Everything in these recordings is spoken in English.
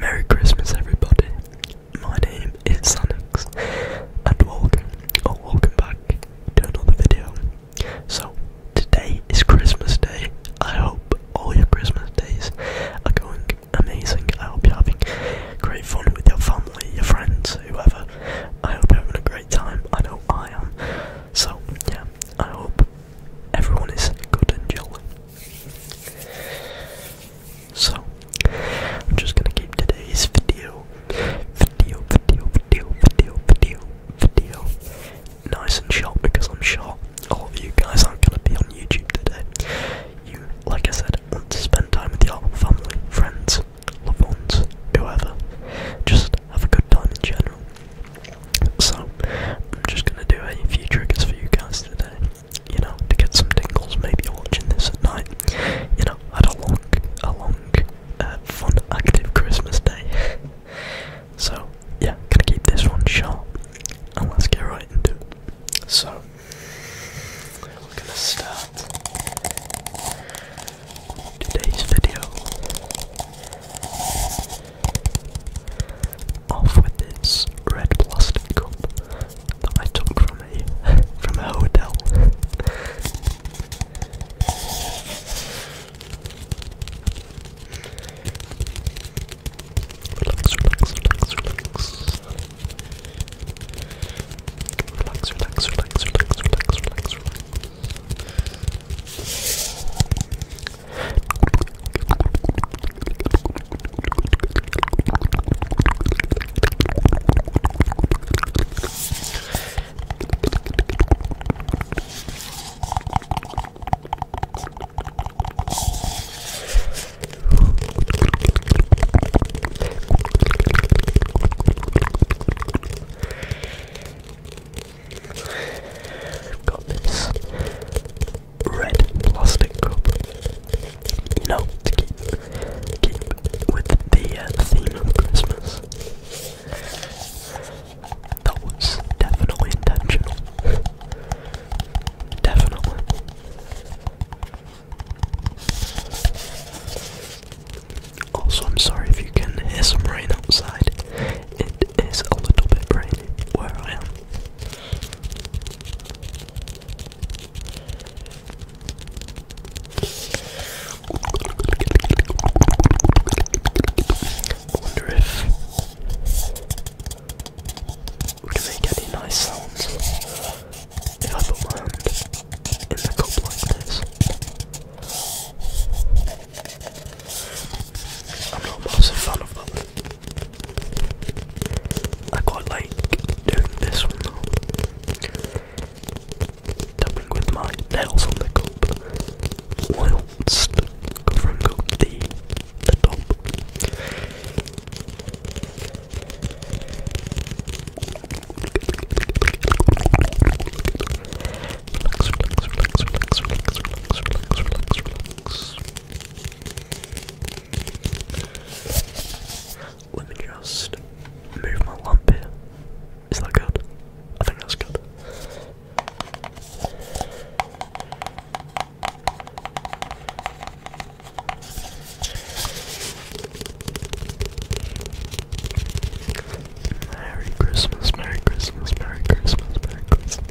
Merry Christmas, everybody. My name is Sanix, and welcome, or welcome back to another video. So, today is Christmas Day. I hope all your Christmas days are going amazing. I hope you're having great fun with your family, your friends, whoever. I hope you're having a great time. I know I am. So, yeah, I hope everyone is good and jolly. So, I'm just gonna keep today's video, video, video, video, video, video, video, nice and short because I'm sure all of you guys aren't gonna be on YouTube today. You, like I said, want to spend time with your family, friends, loved ones, whoever. Just have a good time in general. So, I'm just gonna do a few triggers for you guys today you know, to get some tingles. Maybe you're watching this at night. You know, had a long, a long, uh, fun, active Christmas day. so yeah, gonna keep this one short, and let's get right into it. So we're gonna start today's video off with this red plastic cup that I took from a from a hotel. relax, relax, relax, relax. Relax, relax, relax, relax, relax, relax, relax. Got this red plastic cup. You know, keep, with uh, the theme of Christmas. That was definitely intentional. Definitely. Also, I'm sorry if you can hear some rain outside. It is a little bit rainy where I am. I wonder if would it make any nice sounds if I put in the cup like this. I'm not a massive fan of them. I quite like doing this one though. Tapping with my nails on the cup whilst covering up the, top. Let me just move my lamp here. Is that good? I think that's good. Merry Christmas, Merry Christmas, Merry Christmas, Merry Christmas.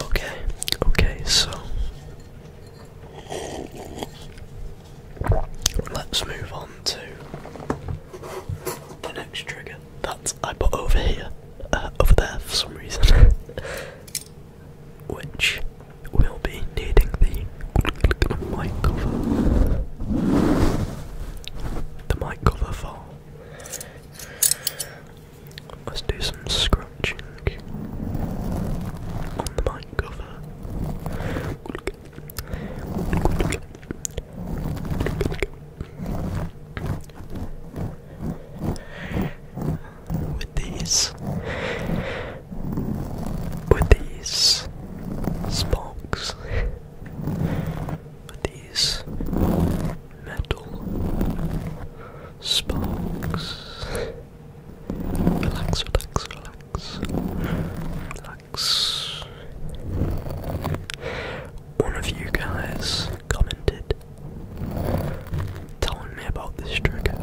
Okay, okay, so let's move on to the next trigger that I put over here, uh, over there for some reason. which will be needing the mic cover. The mic cover for. Let's do some scratching on the mic cover with these with these sparks with these metal sparks relax relax relax relax one of you guys commented telling me about this trigger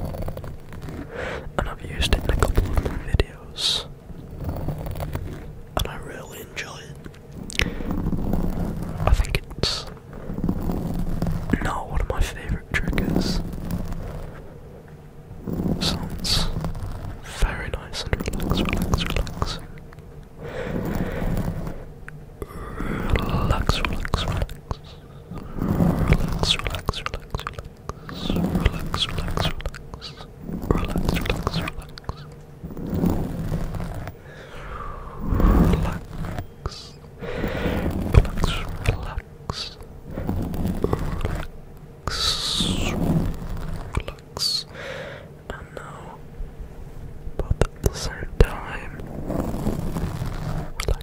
and I've used it in a couple of my videos, and I really enjoy it. I think it's not one of my favourite triggers. Sounds very nice and relax, relax, relax, Relax, relax, relax. Relax, relax, relax, relax. Relax, relax, relax. Relax, relax, relax. Relax. Relax, relax. Relax. Relax. And now, both at the same time. Relax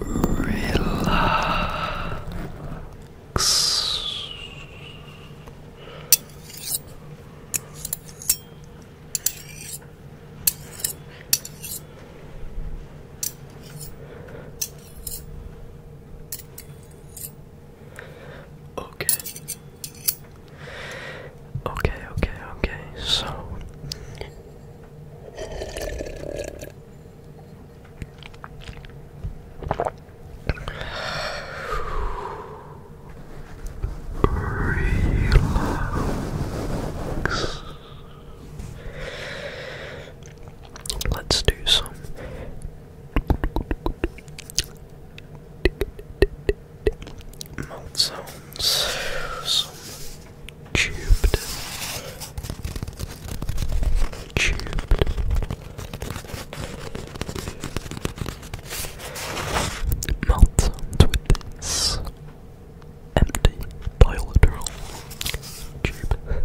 relax. Okay. Okay, okay, okay. So Relax. Let's do some mouth some Tubed. Tubed. Melt with this. Empty bilateral tube.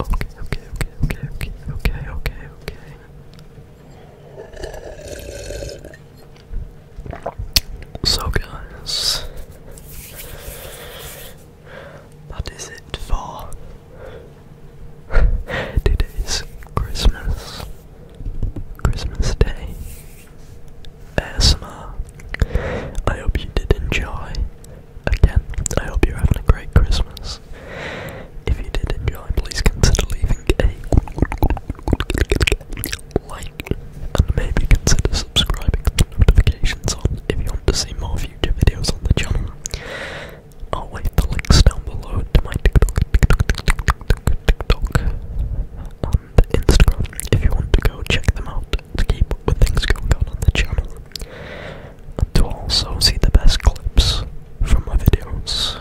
Okay, okay, okay, okay, okay, okay, okay, okay. So guys, that is it for today's Christmas, Christmas Day. ASMR. I hope you did enjoy. Again, I hope you're having a great Christmas. If you did enjoy, please consider leaving a like and maybe consider subscribing to notifications on if you want to see more future videos on the channel. I'll leave the links down below to my TikTok, TikTok, TikTok, TikTok, TikTok, and Instagram if you want to go check them out to keep up with things going on on the channel to also see the best clips from my videos.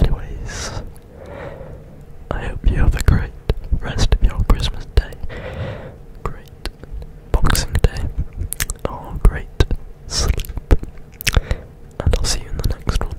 Anyways, I hope you have a great rest of your Christmas day, great Boxing Day, or great sleep, and I'll see you in the next one.